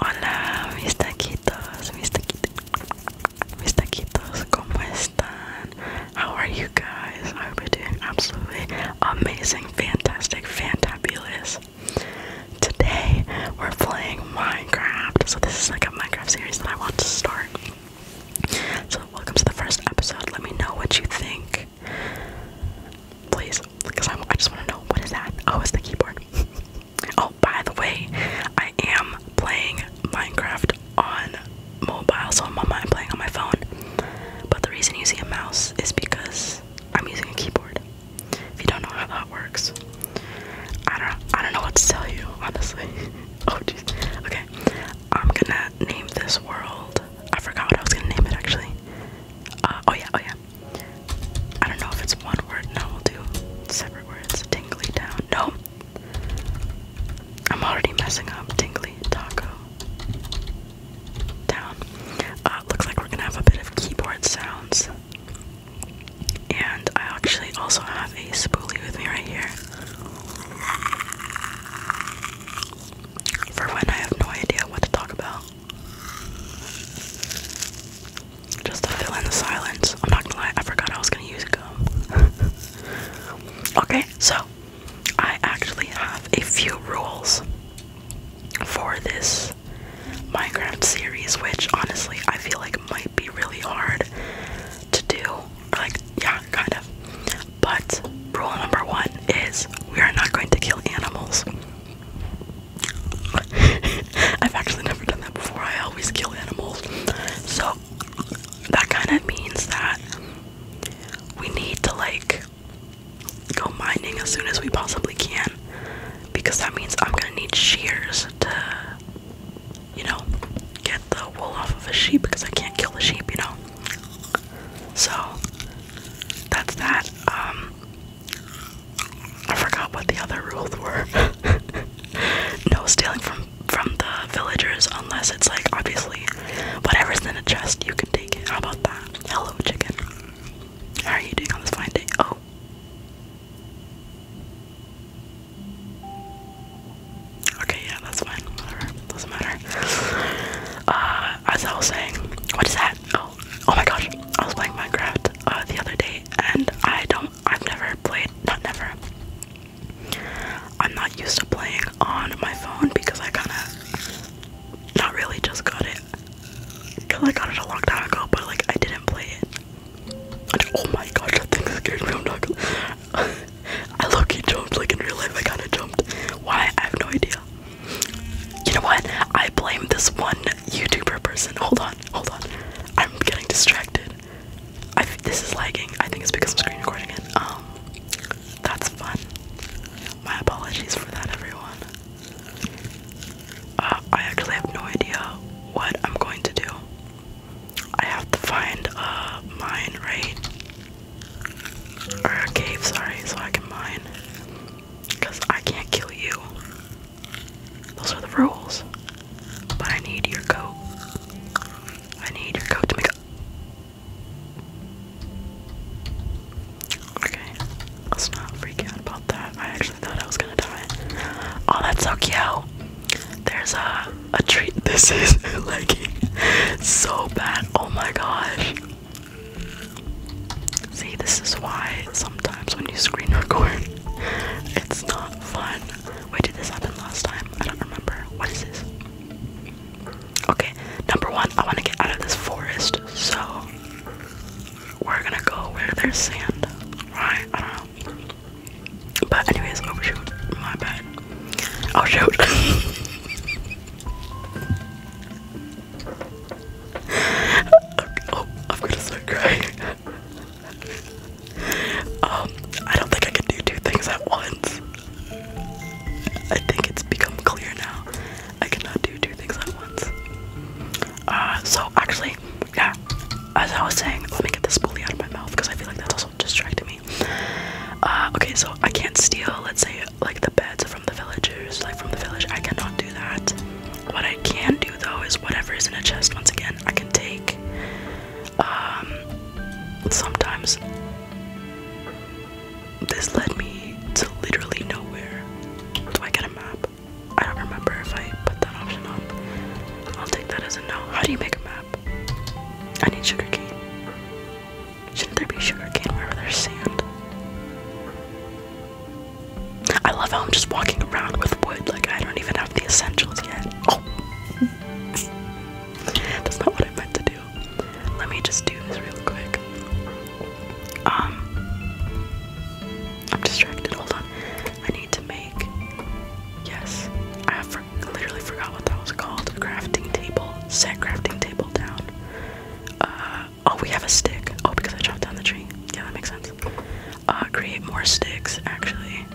Hola mis taquitos, mis taquitos, mis taquitos, ¿cómo están? How are you guys? I hope you're doing absolutely amazing, fantastic, fantabulous. Today we're playing Minecraft. So this is like a Minecraft series that I want to start. So welcome to the first episode. Let me know what you think. Please, because I, just want to know what is that? Oh, it's the keyboard. oh, by the way, I am playing Minecraft on mobile, so I'm, on my, playing on my phone. But the reason using a mouse is because I'm using a keyboard. If you don't know how that works, I don't. I don't know what to tell you, honestly. oh, jeez. Okay, I'm gonna name this world. I forgot what I was gonna name it actually. Uh, oh yeah, oh yeah. I don't know if it's one word. No, we'll do separate words. Tingly down. No. I'm already messing up. Tingly taco down. Uh, looks like we're gonna have a bit of keyboard sounds. And I actually also have a spoolie with me right here. For when I have no idea what to talk about. Just to fill in the silence. I'm not gonna lie, I forgot I was gonna use gum. okay, so I actually have a few rules for this Minecraft series, which honestly I feel like might be really hard to do. Like, yeah, kind of. But rule number one is we are not going to kill animals. I've actually never done that before. I always kill animals. So that kind of means that we need to like go mining as soon as we possibly can because that means I'm gonna need shears to, you know, get the wool off of a sheep because I can't kill the sheep, you know. So that's that. Um, I forgot what the other rules were. no stealing from from the villagers unless it's like obviously whatever's in a chest you can take it. How about that? Hello chicken. How are you doing on this fine day? Oh. Okay, yeah, that's fine. Doesn't matter. Uh as I was saying, what is that? Oh, oh my gosh, I was playing Minecraft uh, the other day, and I don't, I've never played, not never. I'm not used to playing on my phone because I kind of, not really just got it, cause I got it a long time ago, but like I didn't play it. oh my gosh, that thing scared me. I'm not gonna. I am not i low key jumped, like in real life I kinda jumped. Why? I have no idea. You know what? I blame this one YouTuber person. Hold on, hold on. I'm getting distracted. I this is lagging. I think it's because I'm screen recording it. Um, that's fun. My apologies for that, everyone. Uh, I actually have no idea what I'm going to do. I have to find a mine, right? Or a cave, sorry, so I can mine. Because I can't kill you. Those are the rules. But I need your coat. I need your coat to make a. Okay. Let's not freak out about that. I actually thought I was gonna die. Oh, that's so cute. There's a, a treat. This is like so bad. Oh my gosh. See, this is why sometimes when you screen record, it's not fun. Wait, did this happen last time? I don't remember. What is this? Okay, number one, I want to get out of this forest, so we're gonna go where there's sand. Right? I don't know. But, anyways, overshoot. My bad. Oh, shoot. oh, I'm gonna start crying. um, I don't think I can do two things at once. I think it's become clear now. I cannot do two things at once. Uh, so actually, yeah. As I was saying, let me get this spoolie out of my mouth because I feel like that's also distracting me. Uh, okay, so I can't steal, let's say, like the beds from the villagers, like from the village. I cannot do that. What I can do though is whatever is in a chest. Once again, I can take. Um, sometimes this led me to literally nowhere. Do I get a map? I don't remember if I put that option on. I'll take that as a no. How do you make a map? I need sugarcane. Shouldn't there be sugar cane wherever there's sand? I love how I'm just walking around with wood, like I don't even have the essentials yet. Oh! That's not what I meant to do. Let me just do this real quick. Um. I'm distracted, hold on. I need to make. Yes. I literally forgot what that was called. Crafting table. Set crafting table down. Uh. Oh, we have a stick. Oh, because I chopped down the tree. Yeah, that makes sense. Uh, create more sticks, actually.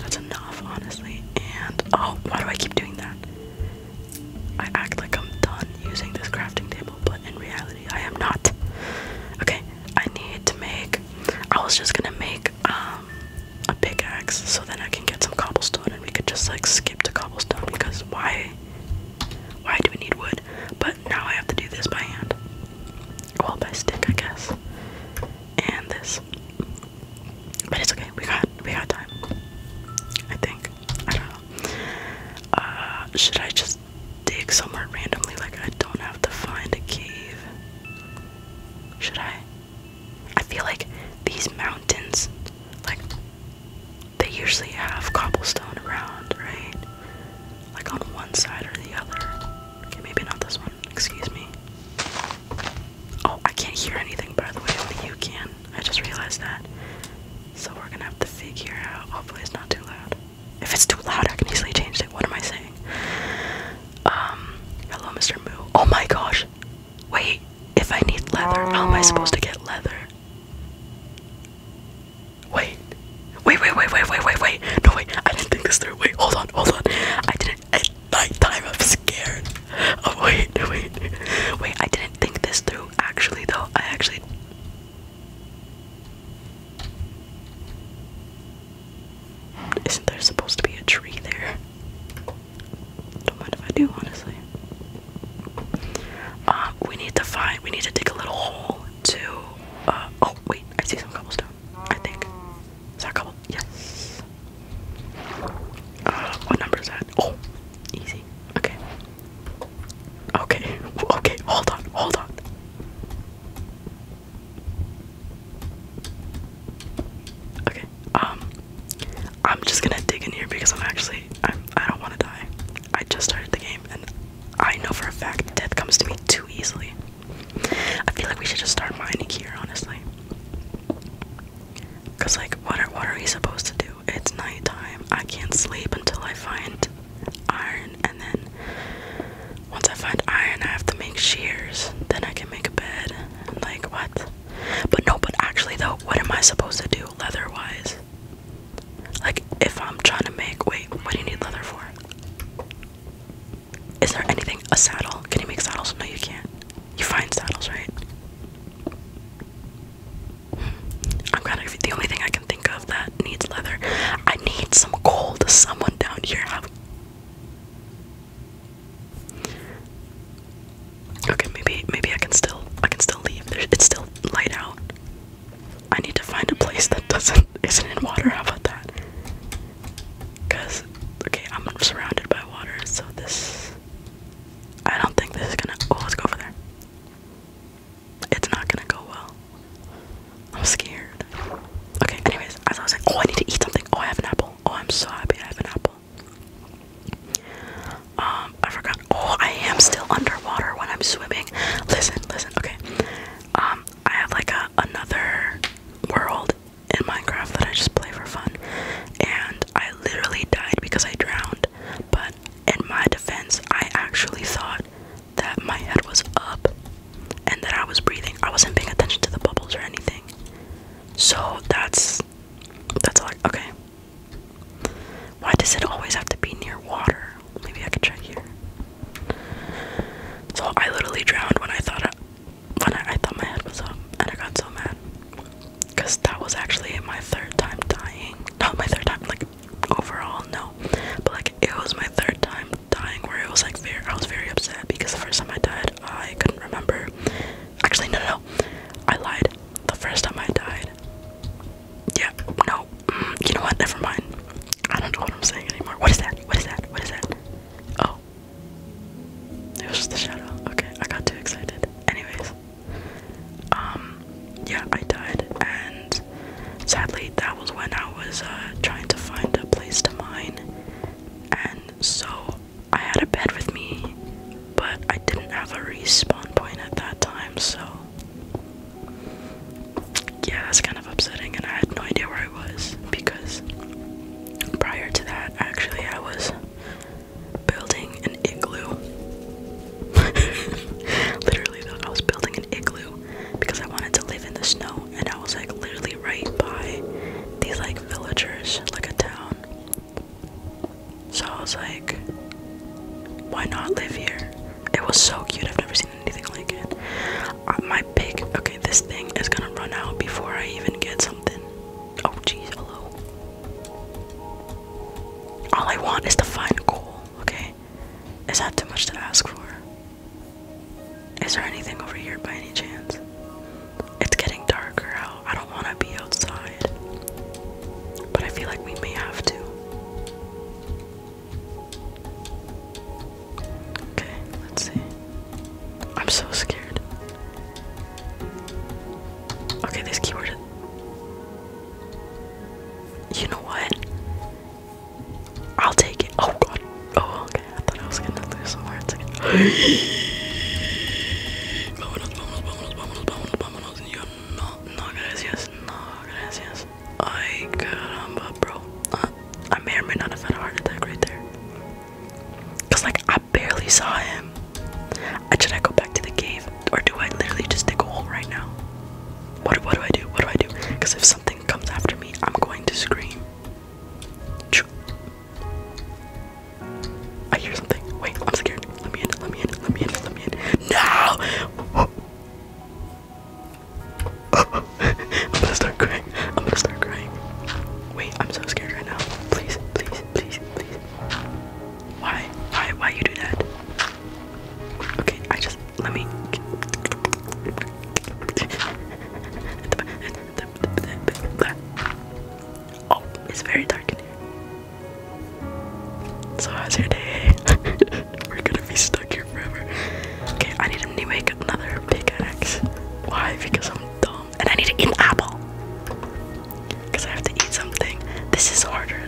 That's enough, honestly. And, oh, why do I keep doing that? I act like I'm done using this crafting table, but in reality, I am not. Okay, I need to make. I was just gonna make um, a pickaxe so then I can get some cobblestone and we could just like skip to cobblestone because why why do we need wood? But now I have to do this by hand. Well, by stick, I guess. And this. But it's okay. We got we got time. I think. I don't know. Uh, should I just dig somewhere randomly? Like I don't have to find a cave. Should I? I feel like these mountains, like they usually have cobblestone around, right? Like on one side or the other. Okay, maybe not this one. Excuse me. Oh, I can't hear anything, by the way. Only you can. I just realized that. So we're gonna have to figure out. Hopefully, it's not too loud. If it's too loud, I can easily change it. What am I saying? Um, hello, Mr. Moo. Oh my gosh, Wait, if I need leather, how am I supposed to get leather? Wait. Wait, wait, wait, wait, wait, wait, wait. No, wait, I didn't think this through. Wait, hold on, hold on. I didn't. At night time, I'm scared. Oh, wait, wait. Wait, I didn't think this through, actually, though. I actually. Isn't there supposed to be a tree there? Don't mind if I do, honestly. Uh, we need to find. We need to dig a little hole to. Uh, oh wait, I see some cobblestone. I think. Is that cobble? Yes. Uh, what number is that? Oh, easy. Okay. Okay. Okay. Hold on. Hold on. Okay. Um, I'm just gonna dig in here because I'm actually I'm, I don't want to die. I just started the game and I know for a fact death comes to me too easily. I feel like we should just start mining here, honestly. Cause like, what are what are we supposed to do? It's nighttime. I can't sleep until I find iron, and then once I find iron, I have to make shears. Then I can make a bed. Like what? But no, but actually though, what am I supposed to do leather wise? Like if I'm trying to make wait, what do you need leather for? Is there anything a saddle? Can you make saddles? No you can't. You find saddles, right? Hmm. I'm kind of the only thing I can think of that needs leather. I need some gold. Does someone down here have Okay, maybe maybe I can still I can still leave. it's still light out. I need to find a place that doesn't isn't in water. How about that? Cause okay, I'm surrounded by water, so this I don't think this is gonna. Oh, let's go over there. It's not gonna go well. I'm scared. Okay, anyways, as I was like, oh, I need to eat something. Oh, I have an apple. Oh, I'm so happy I have an apple. Um, I forgot. Oh, I am still underwater when I'm swimming. Listen, listen. Okay. Um, I have like a another world in Minecraft that I just play for fun, and I literally died because I drowned. But in my defense, I actually thought that my head was up and that I was breathing. I wasn't paying attention to the bubbles or anything. So that's that's like okay. Why does it always have to be near water? Maybe I can check here. So I literally drowned when I thought when I, I thought my head was up, and I got so mad because that was actually my third time dying. Not my third time, like overall, no, but like it was my third time dying where it was like very, I was very upset because the first time I died, I couldn't remember. Actually, no, no, no. I lied the first time I died. Yeah, no. Mm, you know what? Never mind. I don't know what I'm saying anymore. What is that? What is that? What is that? Oh. It was just the shadow. Okay, I got too excited. Anyways. Um, yeah, I died, and sadly, that was when I was uh, trying to find a place to mine, and so I had a bed with me, but I didn't have a respawn point at that time, so yeah, it's kind of upsetting. And I had no idea where I was because prior to that, actually, I was building an igloo. literally, though, I was building an igloo because I wanted to live in the snow, and I was like literally right by these like villagers, like a town. So I was like, why not live here? It was so cute. I've never seen anything like it. Uh, my pig. Okay, this thing is gonna run out before I even get something. Oh, jeez. Hello. All I want is to find coal. Okay. Is that too much to ask for? Is there anything over here by any chance? It's getting darker out. I don't want to be outside. But I feel like we may have to. Okay, let's see. I'm so scared. Okay, this keyword. You know what? I'll take it. Oh god. Oh, I thought I was gonna lose the words again. Vámonos, vámonos, vámonos, vámonos, vámonos, vámonos. Y yo, no, no, gracias, no, gracias. Ay, caramba, bro. Uh, I may or may not have had a heart attack right there. Cause like I barely saw him. I, should I go back to the cave, or do I literally just dig a hole right now? What what do I do? What do I do? Cause if something comes after me, I'm going to scream. I hear something. Wait, I'm scared. Let me in. Let me in. Let me in. Let me in. No! I'm gonna start crying. I'm gonna start crying. Wait, I'm so scared right now. Please, please, please, please. Why? Why? Why you do that? Okay, I just let me. Oh, it's very dark in here. So how's your day? We're gonna be stuck here forever. Okay, I need to make another pickaxe. Why? Because I'm dumb. And I need to eat an apple. Because I have to eat something. This is harder.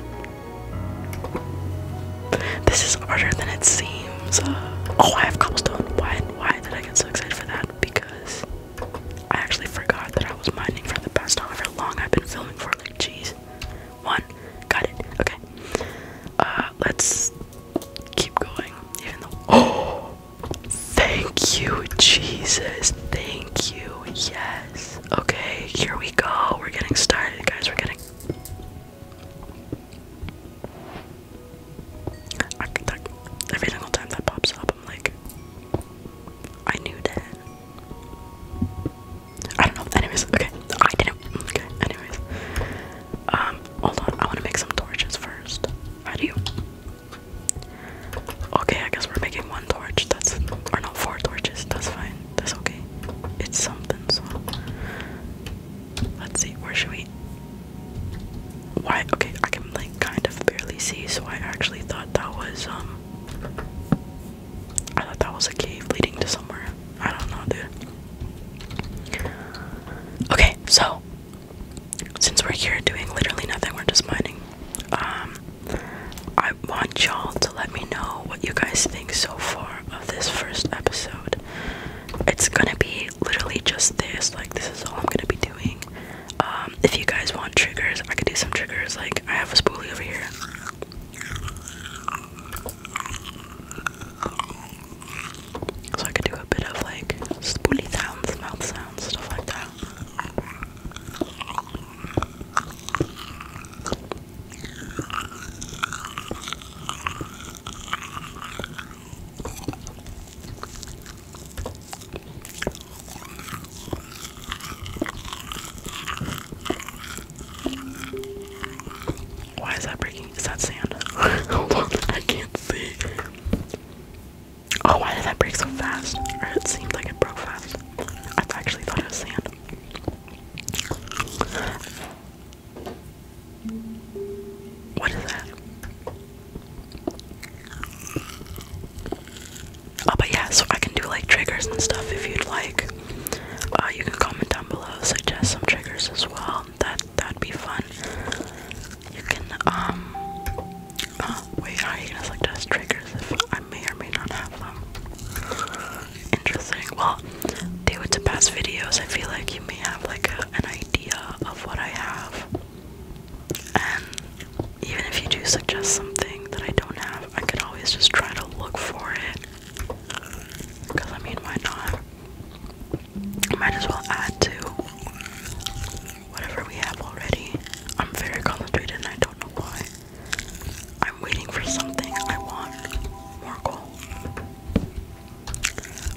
This is harder than it seems. oh, I have cobblestone. Why? Why did I get so excited for that? Because I actually forgot that I was mining for the past however long I've been filming for. Like, jeez. One. Got it. Okay. Uh, let's keep going. Even though. Oh! Thank you, Jesus. Thank you. Yes. Okay, here we go. We're getting started, guys. We're getting. Every single time that pops up, I'm like, I knew that. I don't know. Anyways, okay. I didn't. Okay. Anyways, um, hold on. I want to make some torches first. How Okay, I guess we're making one torch. That's or no, four torches. That's fine. That's okay. It's something. So let's see. Where should we? Why? Okay, I can like kind of barely see, so I actually thought that was um I thought that was a cave leading to somewhere. I don't know, dude. Okay, so since we're here doing literally nothing, we're just mining. Um, I want y'all to let me know what you guys think so far of this first episode. It's gonna be literally just this. Like, this is all I'm gonna be doing. Um, if you guys want triggers, I could do some triggers. Like I have a spoolie over here. So I could do a bit of like spoolie sounds, mouth sounds, stuff like that. Why is that breaking? Is that sand? I can't see. Oh, why did that break so fast? it seemed like it broke fast. I actually thought it was sand. What is that? Oh, but yeah, so I can do like triggers and stuff if you'd like. Uh, you can comment down below, suggest some triggers as well. That that'd be fun. You can um. Oh, wait, are you gonna suggest triggers if I may or may not have them? Interesting. Well, due to past videos, I feel like you may have like an idea of what I have. And even if you do suggest something that I don't have, I could always just try to look for it. Because, I mean, why not? Might as well add to whatever we have already. I'm very concentrated and I don't know why. I'm waiting for something I want. More coal.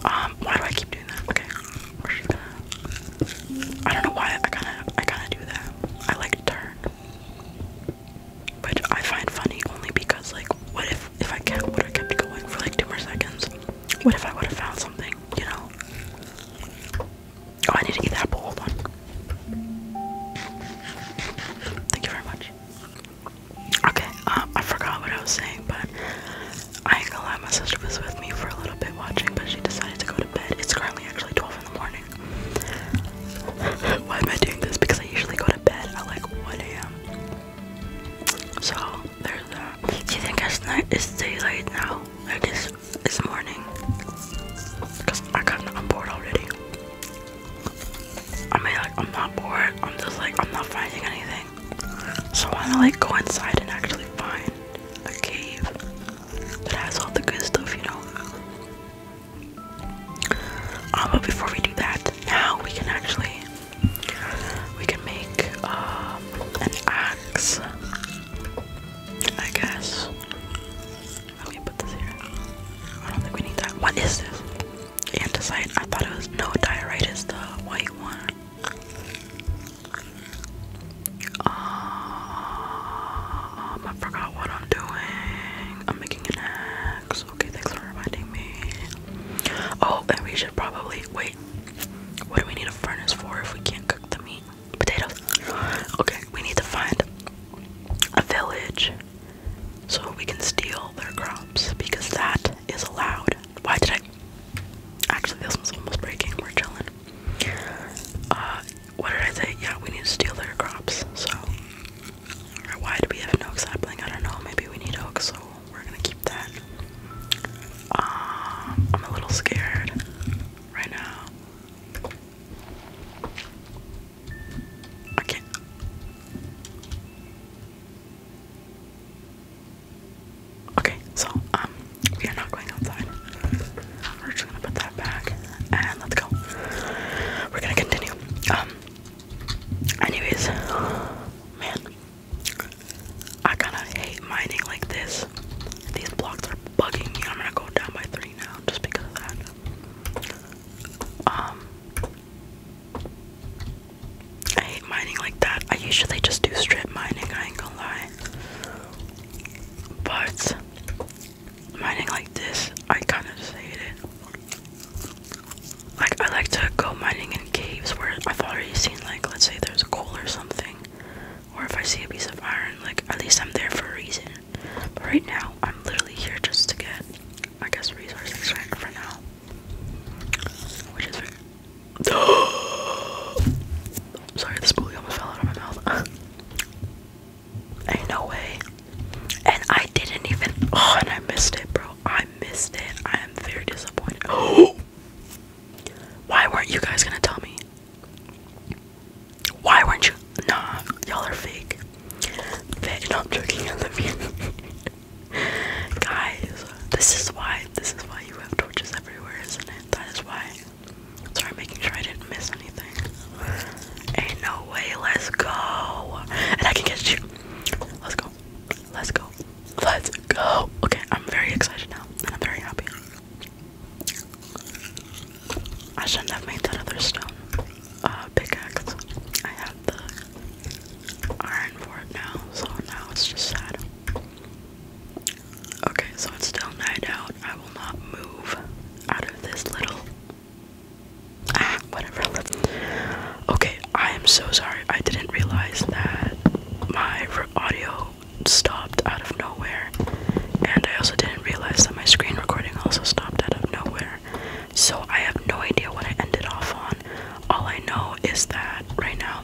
Um, why do I keep doing that? Okay. I don't know why I kind of I kind of do that. I like to turn, which I find funny only because like, what if if I kept would I kept going for like two more seconds? What if I would have found something? You know? Oh, I need to eat that bowl. Hold on. Thank you very much. Okay, um, I forgot what I was saying, but I ain't going my sister was with me for a little bit watching, but she decided to go to bed. It's currently actually 12 in the morning. Why am I doing this? Because I usually go to bed at like 1 a.m. So there's that. Do you think it's night? It's daylight now. Like it's it's morning. Cause I kind of I'm bored already. I mean, like I'm not bored. I'm just like I'm not finding anything. So I wanna like go inside and actually find a cave that has all the good stuff, you know. Uh, but before we do that, now we can actually we can make um, an axe, I guess. Let put this here. I don't think we need that. What is this? Andesite. I thought it was no diorite is the white one. Um, I forgot what I'm doing. I'm making an axe. Okay, thanks for reminding me. Oh, and we should probably wait. What do we need a furnace for if we can't cook the meat? Potatoes. Okay, we need to find a village so we can steal their crops because that is allowed. Why did I? Actually, this was almost breaking. We're chilling. Uh, what did I say? Yeah, we need to steal their crops, so. why do we have an sapling? I don't know. Maybe we need oak, so we're gonna keep that. Uh, I'm a little scared right now. I Okay, so um, we are not going outside. We're just gonna put that back and let's go. We're gonna continue. Um, anyways, man, I kind of hate mining like this. These blocks are bugging me. I'm gonna go down by three now just because of that. Um, I hate mining like that. I usually just do strip mining. I ain't gonna lie but mining like this, I kind of just hate it. Like I like to go mining in caves where I've already seen like let's say there's coal or something, or if I see a piece of iron, like at least I'm there for a reason. But right now, I'm literally here just to get, I guess, resource for now, which is Sorry, this bully almost fell out of my mouth. Ain't no way. And I didn't even. Oh, and I missed it, bro. I missed it. I am very disappointed. Why weren't you guys gonna tell me? Why weren't you? Nah, y'all are fake. Fake. No, i joking. I love you. guys, this is why. This is why you have torches everywhere, isn't it? That is why. Sorry, making sure I didn't miss anything. Ain't no way, let's go. And I can get you. Let's go. Let's go. Let's go. Okay, I'm very excited now, and I'm very happy. I shouldn't have made that other stone uh, pickaxe. I have the iron for it now, so now it's just sad. Okay, so it's still night out. I will not move out of this little. Ah, whatever. Okay, I am so sorry. I didn't realize that my audio stopped out of nowhere. And I also didn't realize that my screen recording also stopped out of nowhere. So I have no idea what I ended off on. All I know is that right now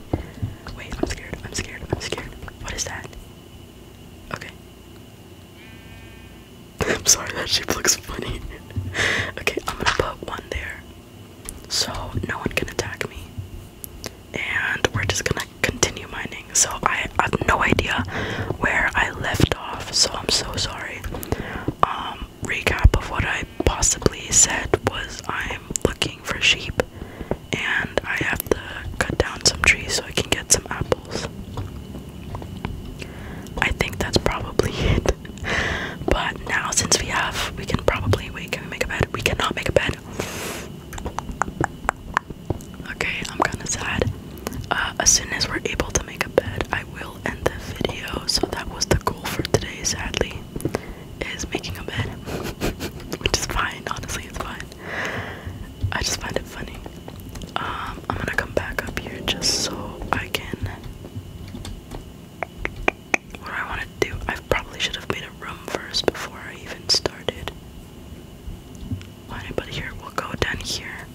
Wait, I'm scared, I'm scared, I'm scared. What is that? Okay. I'm sorry, that shape looks funny. okay, I'm gonna put one there. So no one can attack me. And we're just gonna continue mining. So I, I have no idea where I left off, so I'm so sorry. Um um, recap of what I possibly said was I'm looking for sheep and I have to cut down some trees so I can get some apples. I think that's probably it. But now since we have we can probably wait, can we make a bed? We cannot make a bed. Okay, I'm kinda sad. Uh, as soon as we're able to make a bed, I will end the video. So that was the goal for today, sadly is making a bed, which is fine. Honestly, it's fine. I just find it funny. Um, I'm gonna come back up here just so I can. What I want to do? I probably should have made a room first before I even started. Why here? We'll go down here.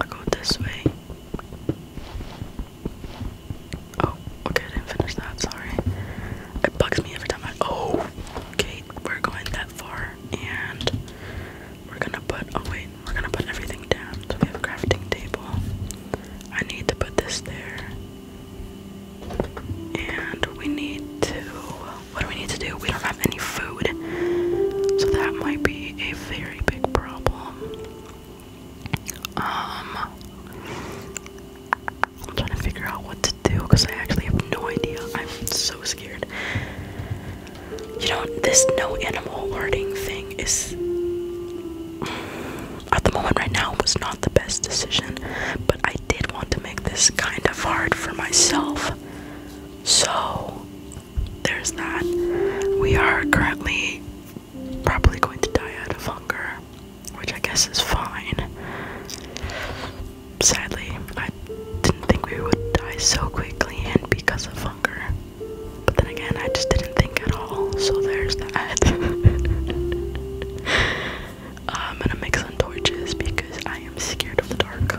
I'll go this way. Oh, okay, I didn't finish that, sorry. It bugs me every time I oh okay, we're going that far and we're gonna put oh wait, we're gonna put everything down. So we have a crafting table. I need to put this there. And we need to what do we need to do? We don't have any food. So that might be a very big problem. Um, I'm trying to figure out what to do because I actually have no idea. I'm so scared. You know, this no animal alerting thing is, at the moment right now, was not the best decision. But I did want to make this kind of hard for myself. So, there's that. We are currently probably going to die out of hunger, which I guess is fine. Sadly, I didn't think we would die so quickly and because of hunger. But then again, I just didn't think at all, so there's that. Uh, I'm gonna make some torches because I am scared of the dark.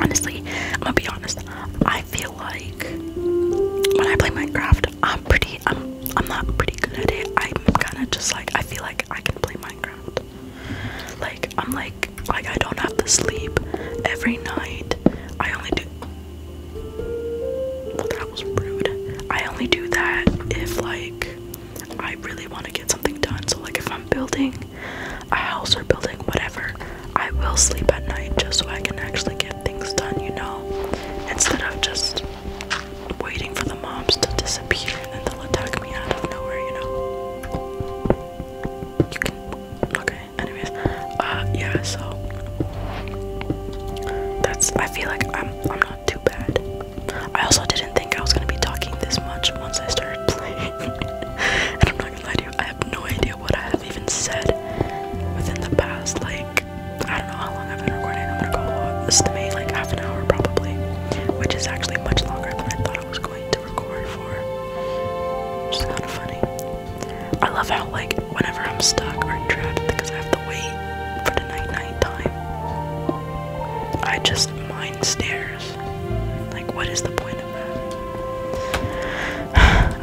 Honestly, I'm gonna be honest. I I feel like when I play Minecraft, I'm pretty. I'm. I'm not pretty good at it. I'm kind of just like. I feel like I can play Minecraft. Like I'm like like I don't have to sleep every night. I only do. that was rude. I only do that if like I really want to get something done. So like if I'm building a house or building whatever, I will sleep at night just so I can actually get things done. You know instead of just waiting for the mobs to disappear and then they'll attack me out of nowhere, you know? You can. Okay, anyways. Uh, yeah, so. That's. I feel like I'm, I'm not too bad. I also didn't think I was gonna be talking this much once I started playing. and I'm not gonna lie to you, I have no idea what I have even said within the past, like. I don't know how long I've been recording. I'm gonna go estimate like half an hour probably, which is actually much longer than I thought I was going to record for. Which is kind of funny. I love how like whenever I'm stuck or trapped because I have to wait for the night night time, I just mind stares. Like what is the point of that?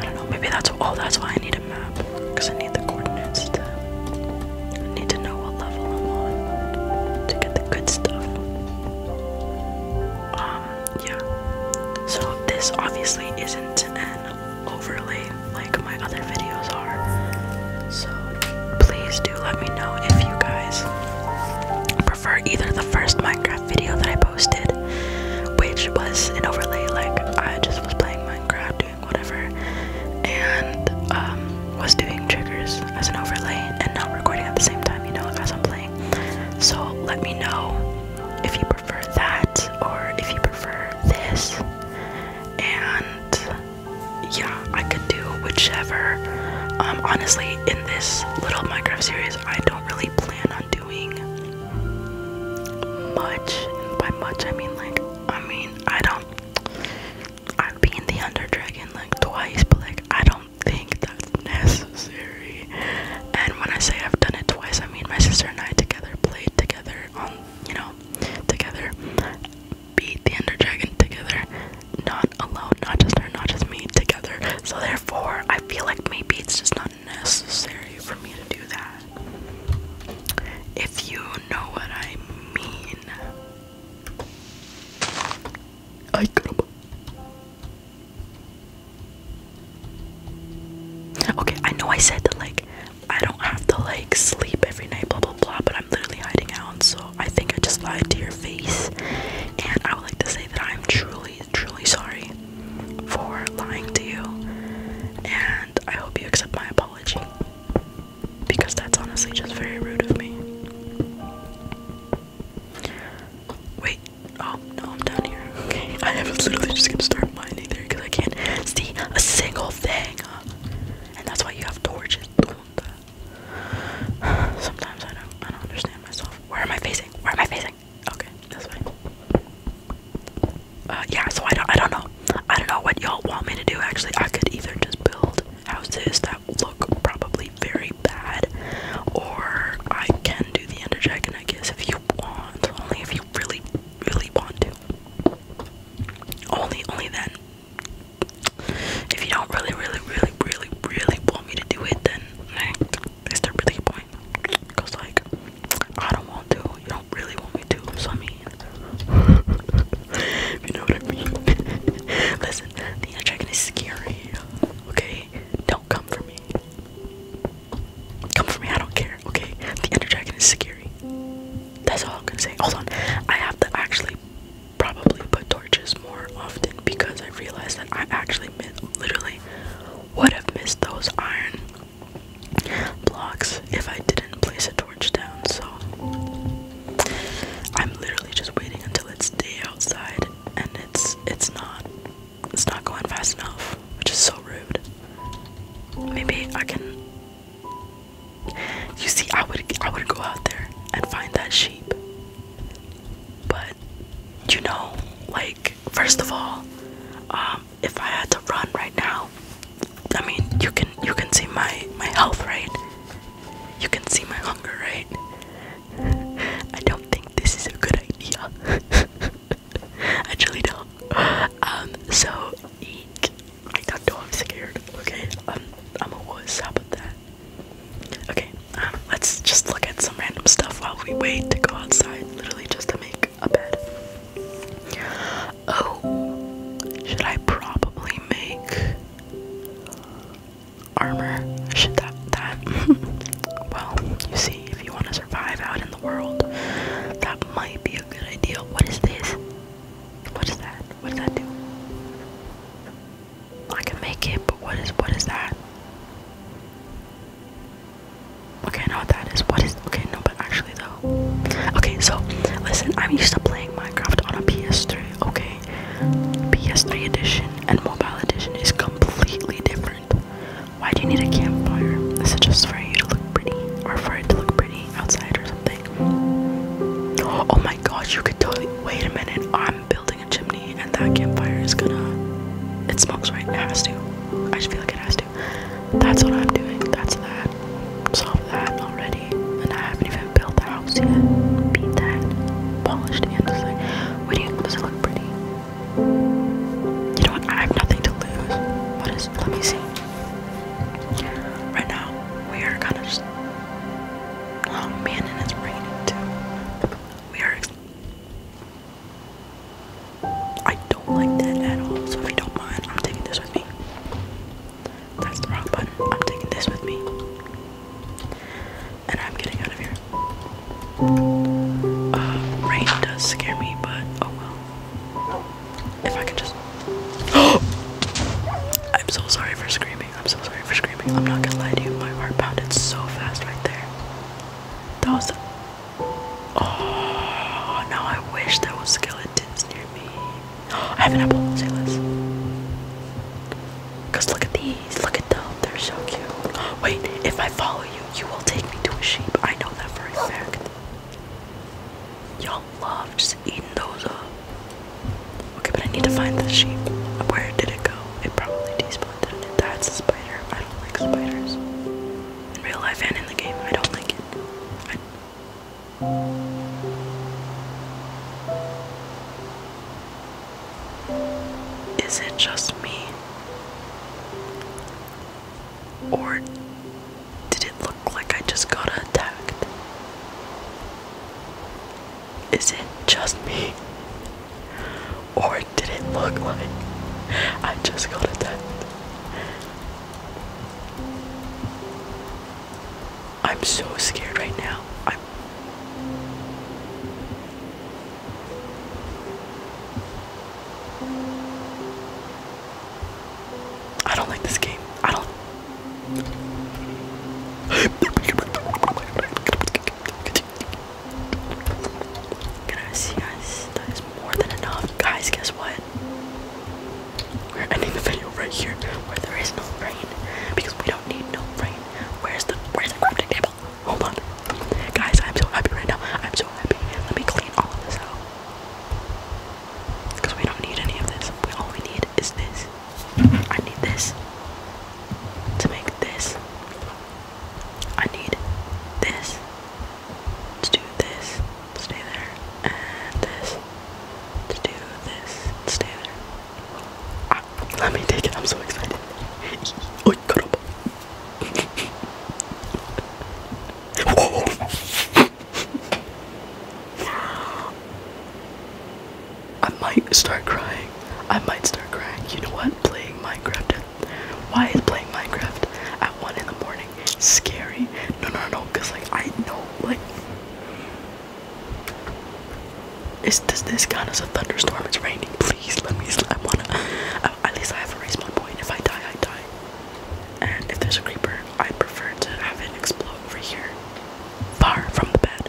I don't know. Maybe that's oh that's why I need map because I need the coordinates to I need to know what level I'm on to get the good stuff. Um, yeah. So this obviously isn't an overlay like my other videos are. So please do let me know if you guys prefer either the first Minecraft video that I posted, which was an overlay like I just was playing Minecraft whatever, and um, was doing triggers as an overlay and not recording at the same time, you know, as I'm playing. So let me know if you prefer that or if you prefer this, and yeah, I could do whichever. Um, honestly, in this little Minecraft series, I don't really plan on doing much, by much I mean like, I mean, I don't, I've been the Under Dragon like twice, but like, I don't think that's necessary. And when I say I've done it twice, I mean my sister and I together played together on, you know, together, beat the Under Dragon together, not alone, not just her, not just me, together. So therefore, I feel like maybe it's just not Necessary for me to do that. If you know what I mean. I could. Okay, I know I said that like I don't have to like sleep every night, blah blah blah, but I'm literally hiding out, so I think I just lied to your face. And I would like to say that I'm truly, truly sorry for lying to you. And I hope you accept my apology because that's honestly just very rude of me. Wait, oh no, I'm down here. Okay, I have literally just gonna start mining there because I can't see a single thing, and that's why you have torches. Sometimes I don't, I don't understand myself. Where am I facing? Where am I facing? Okay. Uh, yeah, so I don't, I don't know. I don't know what y'all want me to do, actually. I could either just build houses that look probably very bad, or I can do the Ender Dragon, I guess, if you want. Only if you really, really want to. Only, only then. If you don't really, really, really, really, really want me to do it, then it's is really a point? Cause like I don't want to. You don't really want me to. So I mean, you know what I mean. Listen, the dragon is scary. Okay, don't come for me. Come for me, I don't care, okay? The Ender Dragon is scary. That's all I'm gonna say. Hold on, I have to actually probably put torches more often because I realized that I actually literally would have missed those iron blocks if I didn't place a torch down, so I'm literally just waiting until it's day outside and it's it's not it's not going fast enough, which is so rude. Maybe I can you see I would I would go out there and find that sheep. But you know, like first of all, um, if I had to run right now, I mean you can you can see my my health, rate, You can see my hunger, rate. I don't think this is a good idea. Actually, truly don't. Um, so eek. I don't know I'm scared. Okay, um, I'm a wuss. How about that? Okay, um, let's just look at some random stuff while we wait to go outside. Literally just to make a bed. Oh, should I probably make armor? Should that that? well, you see, if you want to survive out in the world, that might be a good idea. What is this? What is that? What does that do? I can make it, but what is what is that? Okay, no, that is what is okay. No, but actually though, okay. So listen, I'm used to playing Minecraft on a PS3. Okay, PS3 edition and mobile edition is completely different. Why do you need a campfire? Is it just for you to look pretty, or for it to look pretty outside or something? Oh my gosh, you could totally. Wait a minute, I'm building a chimney, and that campfire is gonna. It smokes, right? It has to. I just feel like it has to. That's what I'm doing. That's that. Solve that already. And I haven't even built the house yet. Beat that. Polished and just what do you, does it look pretty? You know what? I have nothing to lose. What is, let me see. Right now, we are kind of just, oh man, and it's raining too. We are, I don't like that at all. So if you don't mind, I'm taking this with me. That's the wrong button. I'm taking this with me. And I'm getting out of here. Uh, rain does scare me, but oh well. If I could just. I'm so sorry for screaming. I'm so sorry for screaming. I'm not gonna lie to you. My heart pounded so fast right there. That was. Oh, now I wish there was skeletons near me. I have an apple. Say Cause look at these. Look at them. They're so cute. Wait, if I follow you, you will take me to a sheep. I know that for a fact. Y'all love just eating those up. Okay, but I need to find the sheep. Where did it go? It probably despawned, That's a spider. I don't like spiders in real life and in the game. I don't like it. is it just me? Or did it look like I just got attacked? Is it just me? Or or did it look like? I just got attacked. I'm so scared right now. I'm i do not like this game. I don't Gracias. That is more than enough. Guys, guess what? We're ending the video right here where there is no rain. Because we don't need no rain. Where's the where's the crafting table? Hold on. Guys, I'm so happy right now. I'm so happy. Let me clean all of this out. Because we don't need any of this. We all we need is this. I need this to make this. I need this Let's do this, stay there, and this. Let's do this, stay there. Ah, let me take it, I'm so excited. Oh, cut I might start crying. I might start crying. You know what? Playing Minecraft why is playing Minecraft at one in the morning scary? No, no, no, cause like I know like it's does this count as a thunderstorm? It's raining. Please let me. I wanna. at least I have erased my point. If I die, I die. And if there's a creeper, I prefer to have it explode over here, far from the bed.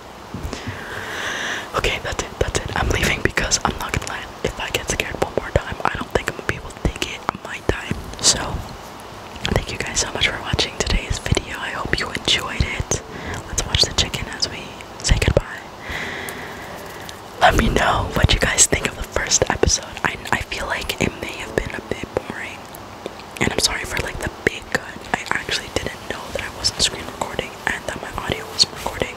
Okay, that's it. That's it. I'm leaving because I'm not gonna lie. If I get scared one more time, I don't think I'm gonna be able to take it. I might die. So, thank you guys so much for watching today's video. I hope you enjoyed it. Let's watch the chicken as we say goodbye. Let me know what you guys think of the first episode. I I feel like it may have been a bit boring, and I'm sorry for like the big cut. I actually didn't know that I wasn't screen recording and that my audio wasn't recording.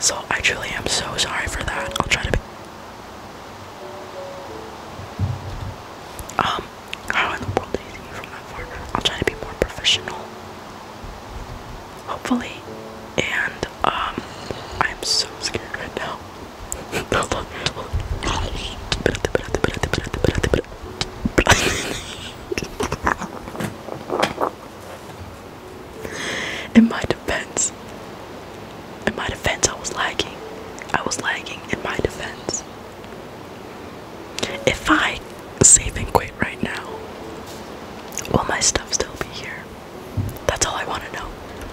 So I truly am so sorry for that. I'll try to be Um, how in the world did you see from that far? I'll try to be more professional. Hopefully. And um I'm so scared right now. in my defense in my defense i was lagging i was lagging in my defense if i save and quit right now will my stuff still be here that's all i want to know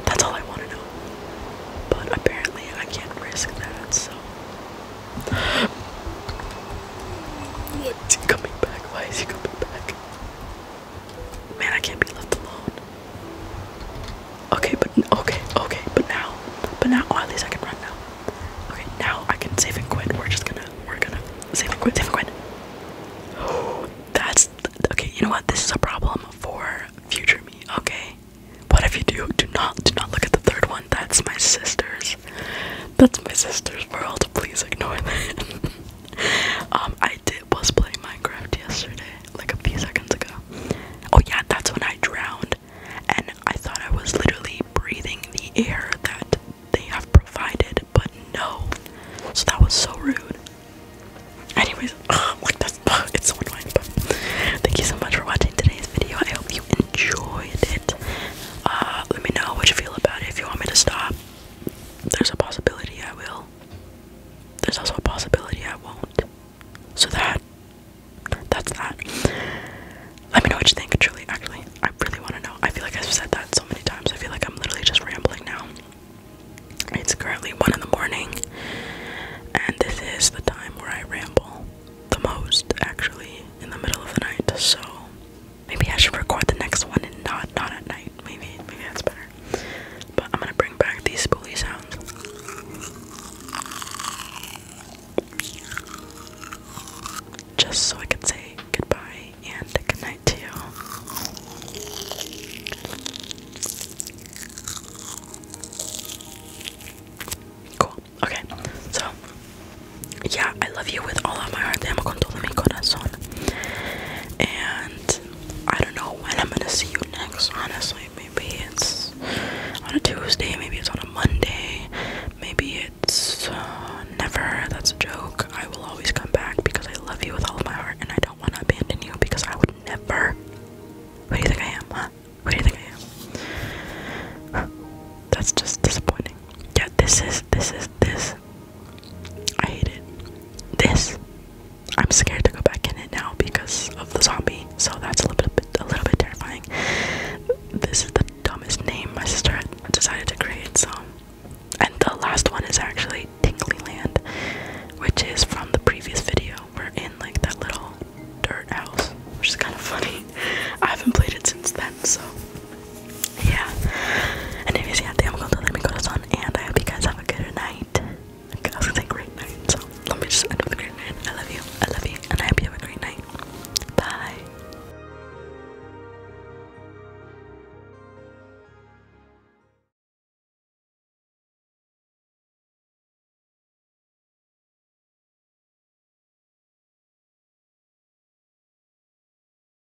that's all i want to know but apparently i can't risk that so what is he coming back why is he coming back Man, I can't be left alone. Okay, but okay, okay, but now, but now, oh, at least I can run now. Okay, now I can save and quit. We're just gonna, we're gonna save and quit, save and quit. that's okay. You know what? This is a problem for future me. Okay, what if you do? Do not, do not look at the third one. That's my sister's. That's my sister's world. Please ignore that. um, I did I was playing Minecraft yesterday, like a few seconds ago. Oh yeah, that's when I drowned, and I thought I was literally breathing the air that they have provided, but no. So that was so rude. Anyways, ugh, like that's ugh, it's so annoying. thank you so much for watching today's video. I hope you enjoyed it. Uh, let me know what you feel about it. If you want me to stop, there's a possibility I will. There's also a possibility I won't. So that that's that. Let me know what you think, truly, actually. I really want to know. I feel like I've said that so many times. I feel like I'm literally just rambling now. It's currently one in the morning, and this is the time where I ramble the most, actually, in the middle of the night. So Maybe I should record the next one and not not at night. Maybe maybe that's better. But I'm gonna bring back these spoolie sounds. Just so I could say goodbye and good to you. Cool. Okay. So yeah, I love you with all of my heart. Te amo con todo mi corazón and I don't know when I'm gonna see you next, honestly. Maybe it's on a Tuesday, maybe it's on a Monday, maybe it's uh, never. That's a joke. I will always come back because I love you with all of my heart and I don't want to abandon you because I would never. Who do you think I am, huh? Who do you think I am? That's just disappointing. Yeah, this is this is this I hate it. This, I'm scared to go back in it now because of the zombie, so that's a little bit, a little bit terrifying. This is the dumbest name my sister decided to create, so. And the last one is actually Tingly Land, which is from the previous video. We're in like that little dirt house, which is kind of funny. I haven't played it since then, so yeah. Anyways, yeah, I'm going to let me go to sun, and I hope you guys have a good night. I was gonna say great night, so let me just end a great night. I love you, I love you, and I hope you have a great night. Bye.